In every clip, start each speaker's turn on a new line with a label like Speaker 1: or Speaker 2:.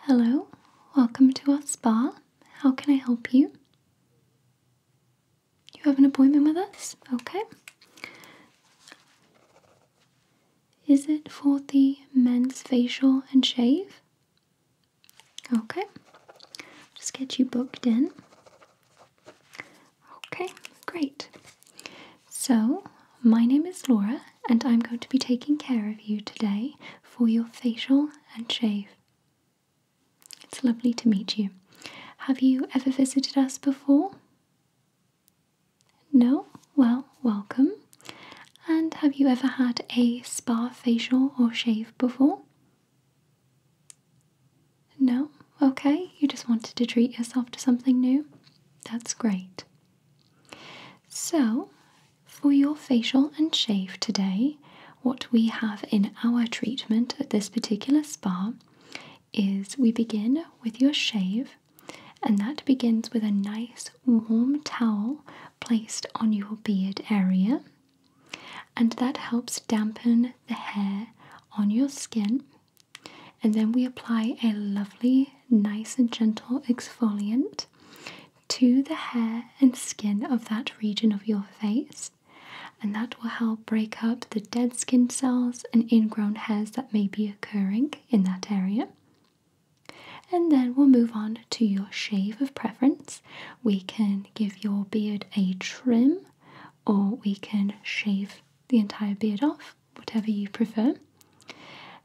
Speaker 1: Hello, welcome to our spa. How can I help you? You have an appointment with us? Okay. Is it for the men's facial and shave? Okay. Just get you booked in. Okay, great. So, my name is Laura and I'm going to be taking care of you today for your facial and shave. It's lovely to meet you. Have you ever visited us before? No? Well, welcome. And have you ever had a spa facial or shave before? No? Okay, you just wanted to treat yourself to something new? That's great. So, for your facial and shave today, what we have in our treatment at this particular spa is we begin with your shave, and that begins with a nice warm towel placed on your beard area, and that helps dampen the hair on your skin. And then we apply a lovely, nice, and gentle exfoliant to the hair and skin of that region of your face, and that will help break up the dead skin cells and ingrown hairs that may be occurring in that area. And then we'll move on to your shave of preference. We can give your beard a trim, or we can shave the entire beard off, whatever you prefer.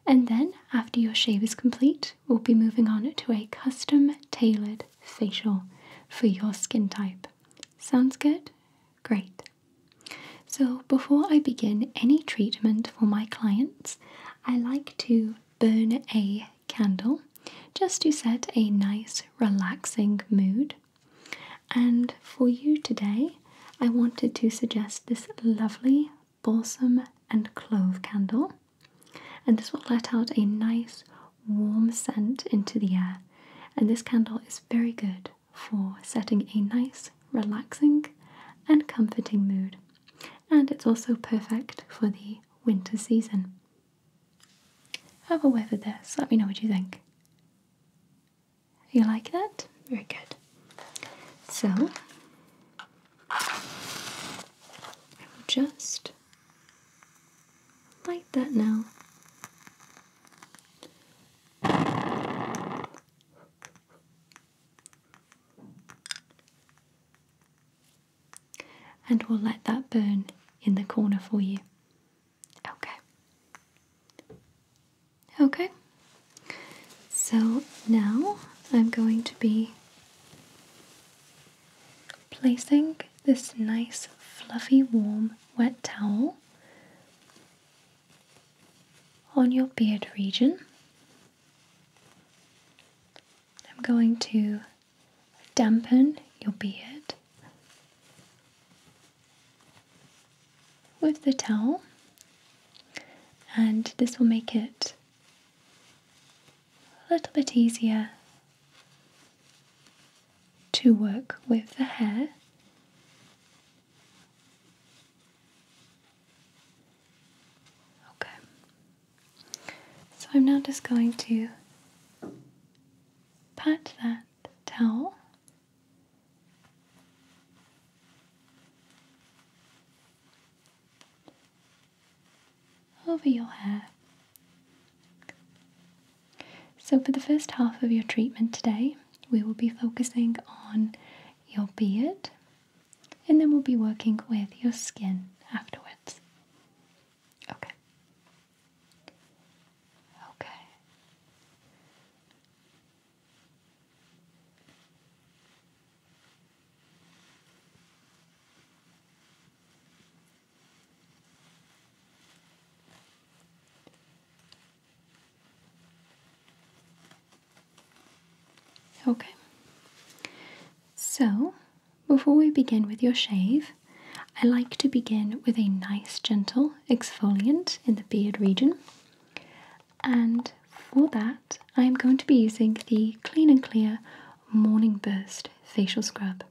Speaker 1: And then, after your shave is complete, we'll be moving on to a custom tailored facial for your skin type. Sounds good? Great. So, before I begin any treatment for my clients, I like to burn a candle just to set a nice, relaxing mood. And for you today, I wanted to suggest this lovely balsam and clove candle, and this will let out a nice warm scent into the air. And this candle is very good for setting a nice, relaxing, and comforting mood, and it's also perfect for the winter season. Have a whiff of this, let me know what you think. You like that? Very good. So, I will just light that now. And we'll let that burn in the corner for you. Okay. Okay. So now I'm going to be Placing this nice, fluffy, warm, wet towel on your beard region. I'm going to dampen your beard with the towel, and this will make it a little bit easier to work with the hair. Okay, so I'm now just going to pat that towel over your hair. So, for the first half of your treatment today, we will be focusing on your beard and then we'll be working with your skin afterwards. Okay. Okay. Okay, so before we begin with your shave, I like to begin with a nice, gentle exfoliant in the beard region and for that, I am going to be using the Clean and Clear Morning Burst Facial Scrub.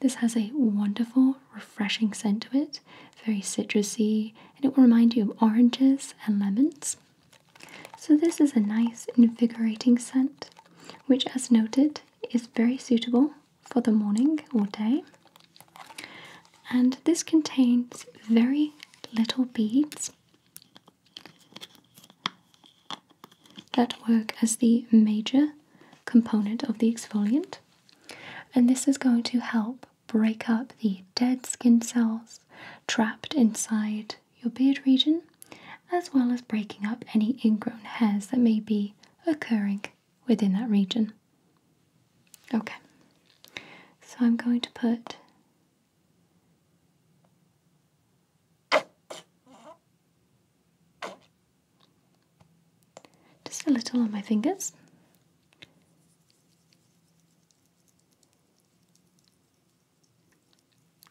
Speaker 1: This has a wonderful, refreshing scent to it, very citrusy, and it will remind you of oranges and lemons. So, this is a nice, invigorating scent, which, as noted, is very suitable for the morning or day. And this contains very little beads, that work as the major component of the exfoliant. And this is going to help break up the dead skin cells trapped inside your beard region, as well as breaking up any ingrown hairs that may be occurring within that region. Okay, so I'm going to put just a little on my fingers.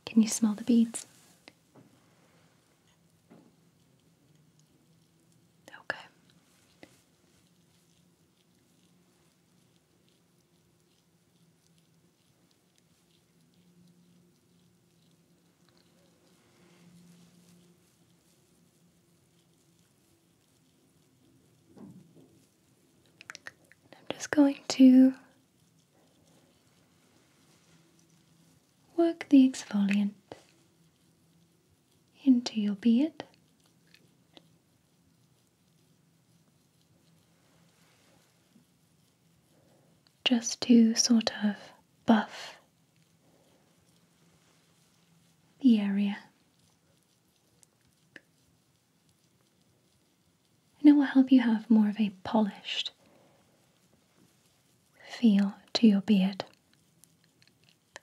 Speaker 1: Can you smell the beads? Okay. I'm just going to work the exfoliant into your beard just to sort of buff the area. And it will help you have more of a polished feel to your beard.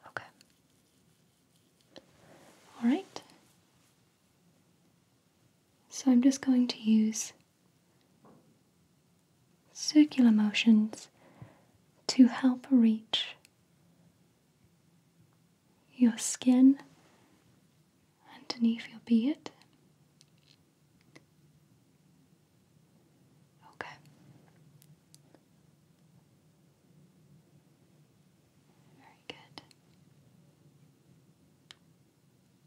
Speaker 1: Okay. Alright. So I'm just going to use circular motions to help reach your skin underneath your beard. Okay. Very good.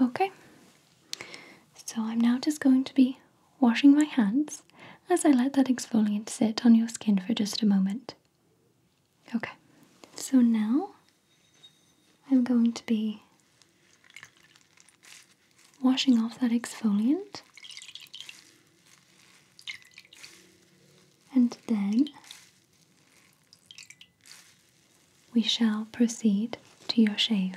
Speaker 1: Okay, so I'm now just going to be washing my hands as I let that exfoliant sit on your skin for just a moment. Okay, so now I'm going to be washing off that exfoliant. And then we shall proceed to your shave.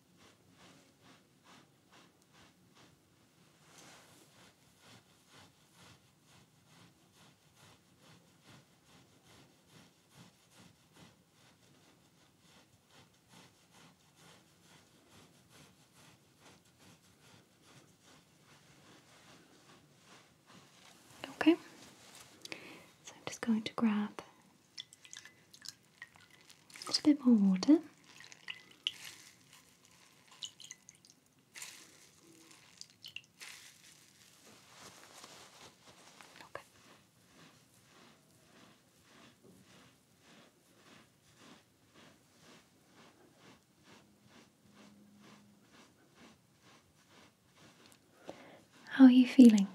Speaker 1: Okay, so I'm just going to grab a little bit more water how are you feeling?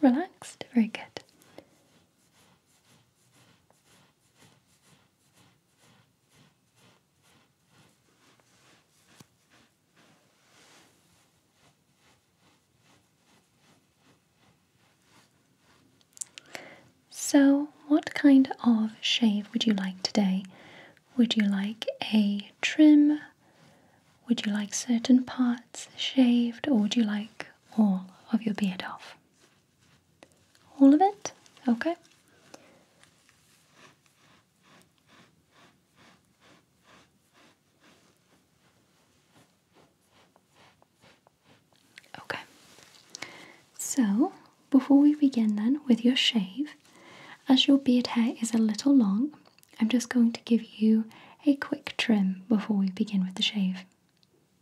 Speaker 1: Relaxed? Very good. So, what kind of shave would you like today? Would you like a trim? Would you like certain parts shaved, or would you like all of your beard off? All of it? Okay. Okay. So, before we begin then with your shave, as your beard hair is a little long, I'm just going to give you a quick trim before we begin with the shave.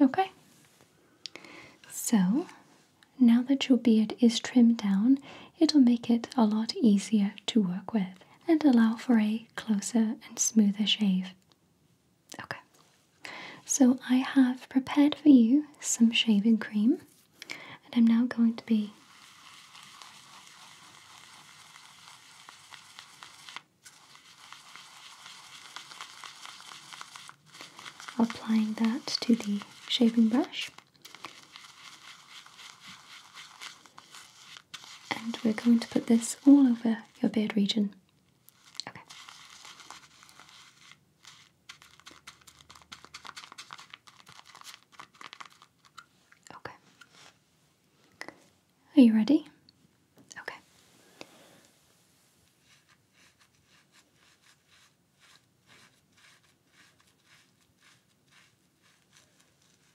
Speaker 1: Okay. So now that your beard is trimmed down, it'll make it a lot easier to work with and allow for a closer and smoother shave. Okay, so I have prepared for you some shaving cream, and I'm now going to be applying that to the shaving brush and we're going to put this all over your beard region. Okay. Okay. Are you ready? Okay.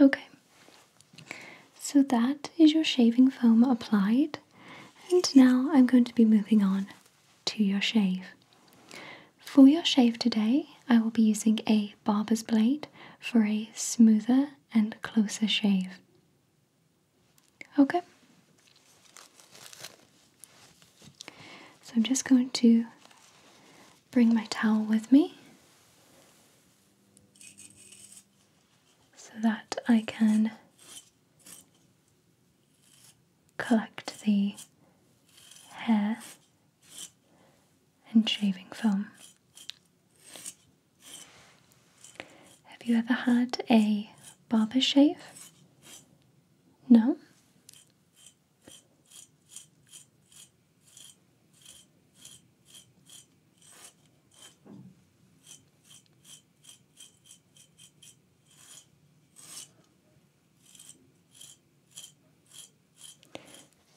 Speaker 1: Okay, so that is your shaving foam applied, and now I'm going to be moving on to your shave. For your shave today, I will be using a barber's blade for a smoother and closer shave. Okay, so I'm just going to bring my towel with me so that I can collect the hair and shaving foam. Have you ever had a barber shave? No?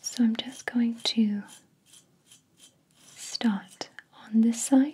Speaker 1: So I'm just going to start on this side.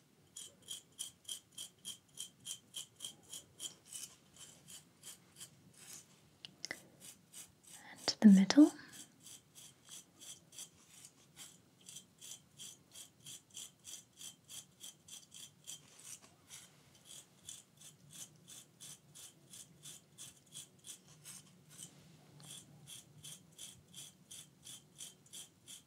Speaker 1: and the middle.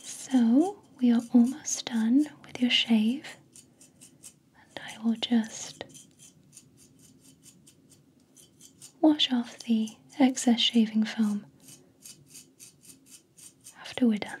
Speaker 1: So we are almost done with your shave, and I will just wash off the excess shaving foam after we're done.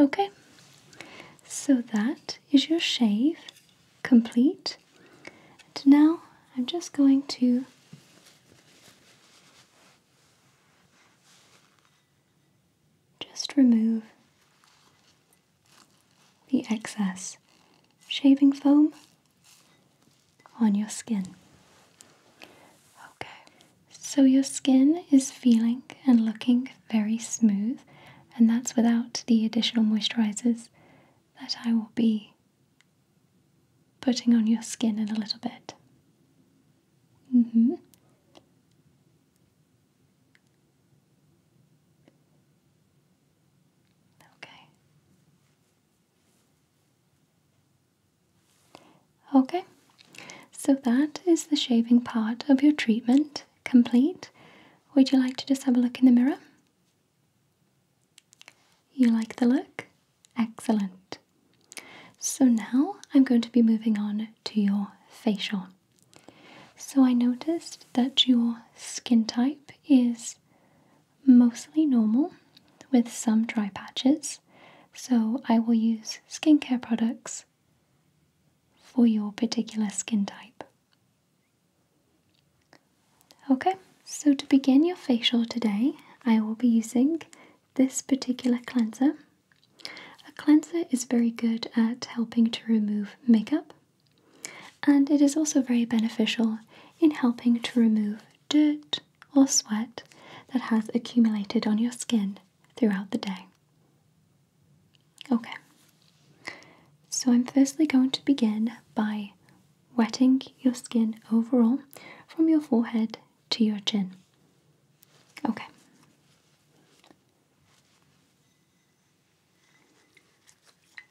Speaker 1: Okay, so that is your shave complete. And now I'm just going to just remove the excess shaving foam on your skin. Okay, so your skin is feeling and looking very smooth, and that's without the additional moisturizers that I will be putting on your skin in a little bit. Mm hmm. Okay. Okay, so that is the shaving part of your treatment complete. Would you like to just have a look in the mirror? You like the look? Excellent. So now I'm going to be moving on to your facial. So I noticed that your skin type is mostly normal with some dry patches. So I will use skincare products for your particular skin type. Okay, so to begin your facial today, I will be using this particular cleanser. A cleanser is very good at helping to remove makeup and it is also very beneficial in helping to remove dirt or sweat that has accumulated on your skin throughout the day. Okay, so I'm firstly going to begin by wetting your skin overall from your forehead to your chin. Okay.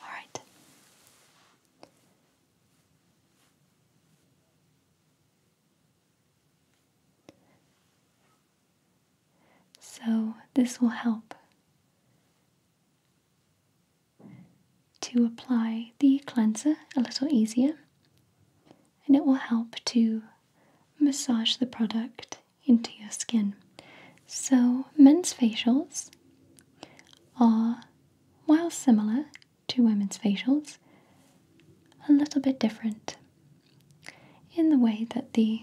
Speaker 1: All right. So, this will help to apply the cleanser a little easier, and it will help to massage the product into your skin. So, men's facials are, while similar to women's facials, a little bit different in the way that the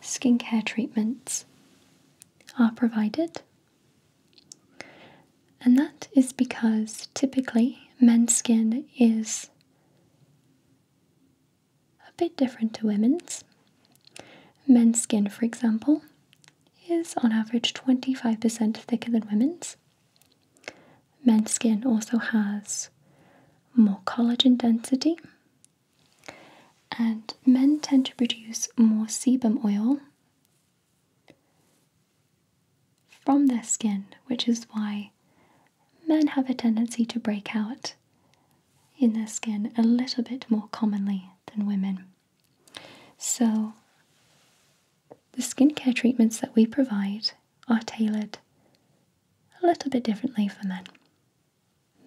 Speaker 1: skincare treatments are provided. And that is because typically men's skin is a bit different to women's. Men's skin, for example, is on average 25% thicker than women's. Men's skin also has more collagen density, and men tend to produce more sebum oil from their skin, which is why men have a tendency to break out in their skin a little bit more commonly than women. So, the skincare treatments that we provide are tailored a little bit differently for men.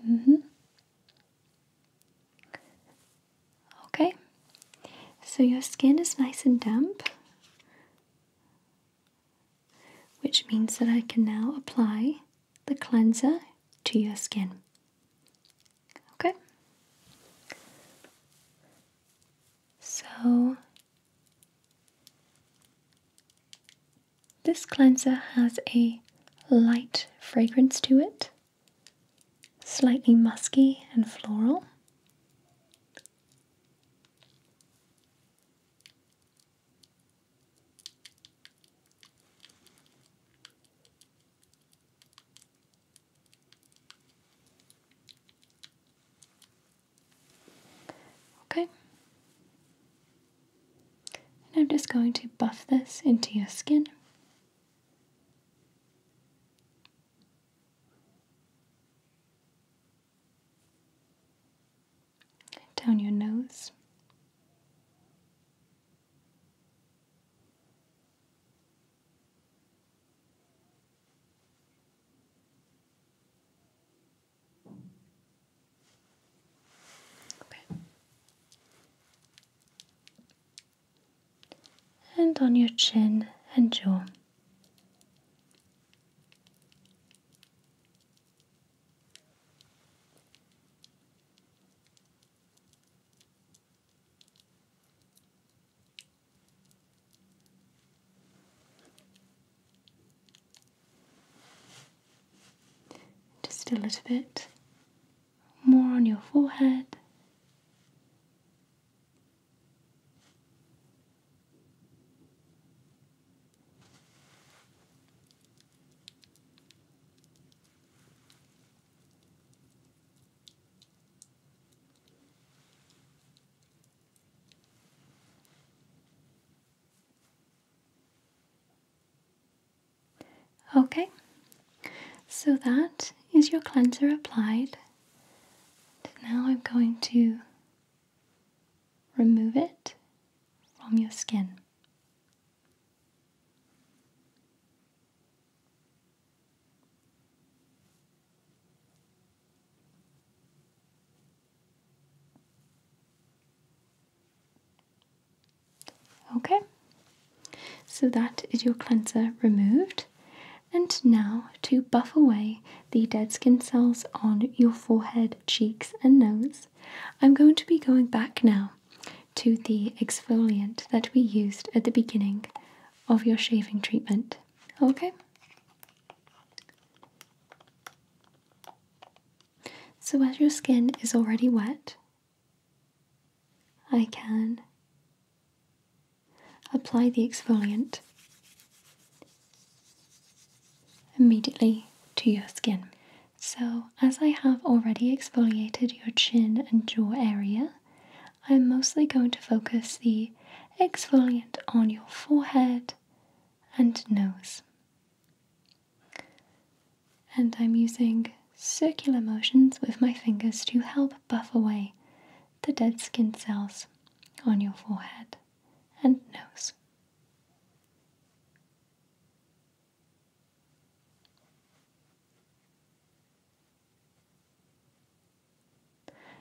Speaker 1: Mm-hmm. Okay, so your skin is nice and damp which means that I can now apply the cleanser to your skin. Okay? So, this cleanser has a light fragrance to it, slightly musky and floral. Okay. And I'm just going to buff this into your skin down your nose. And on your chin and jaw. Just a little bit more on your forehead. Okay, so that is your cleanser applied. now I'm going to Remove it from your skin. Okay, so that is your cleanser removed. And now to buff away the dead skin cells on your forehead cheeks, and nose. I'm going to be going back now to the exfoliant that we used at the beginning of your shaving treatment. Okay? So, as your skin is already wet, I can apply the exfoliant immediately to your skin. So, as I have already exfoliated your chin and jaw area, I'm mostly going to focus the exfoliant on your forehead and nose. And I'm using circular motions with my fingers to help buff away the dead skin cells on your forehead and nose.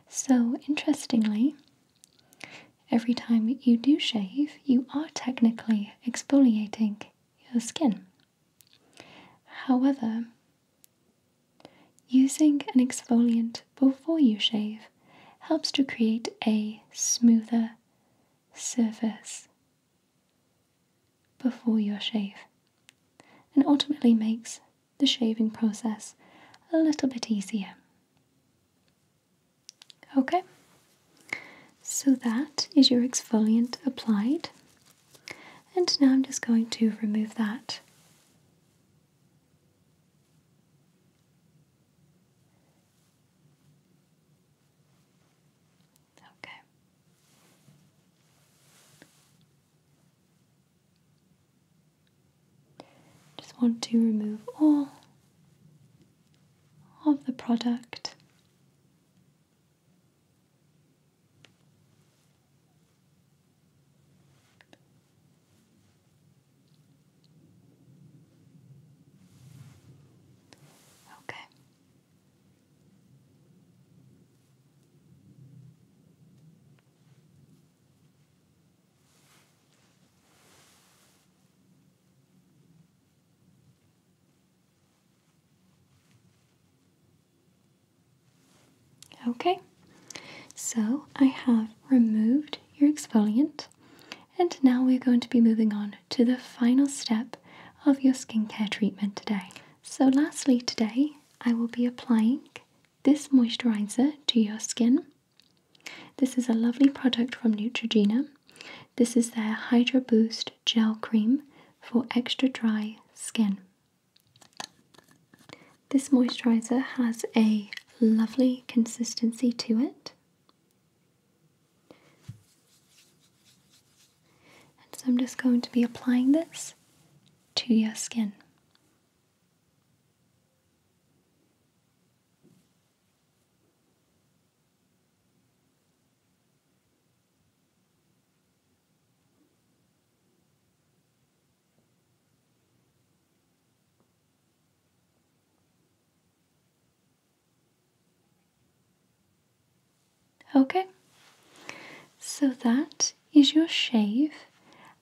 Speaker 1: So, interestingly, every time you do shave, you are technically exfoliating your skin. However, using an exfoliant before you shave helps to create a smoother surface before your shave and ultimately makes the shaving process a little bit easier. Okay, so that is your exfoliant applied, and now I'm just going to remove that Okay. Just want to remove all of the product. Okay. Okay, so I have removed your exfoliant and now we're going to be moving on to the final step of your skincare treatment today. So, lastly, today I will be applying this moisturizer to your skin. This is a lovely product from Neutrogena. This is their Hydro Boost Gel Cream for extra dry skin. This moisturizer has a lovely consistency to it. And so I'm just going to be applying this to your skin. Okay, so that is your shave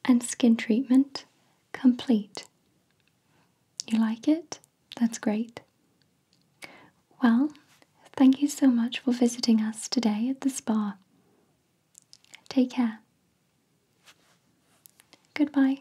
Speaker 1: and skin treatment complete. You like it? That's great. Well, thank you so much for visiting us today at the spa. Take care. Goodbye.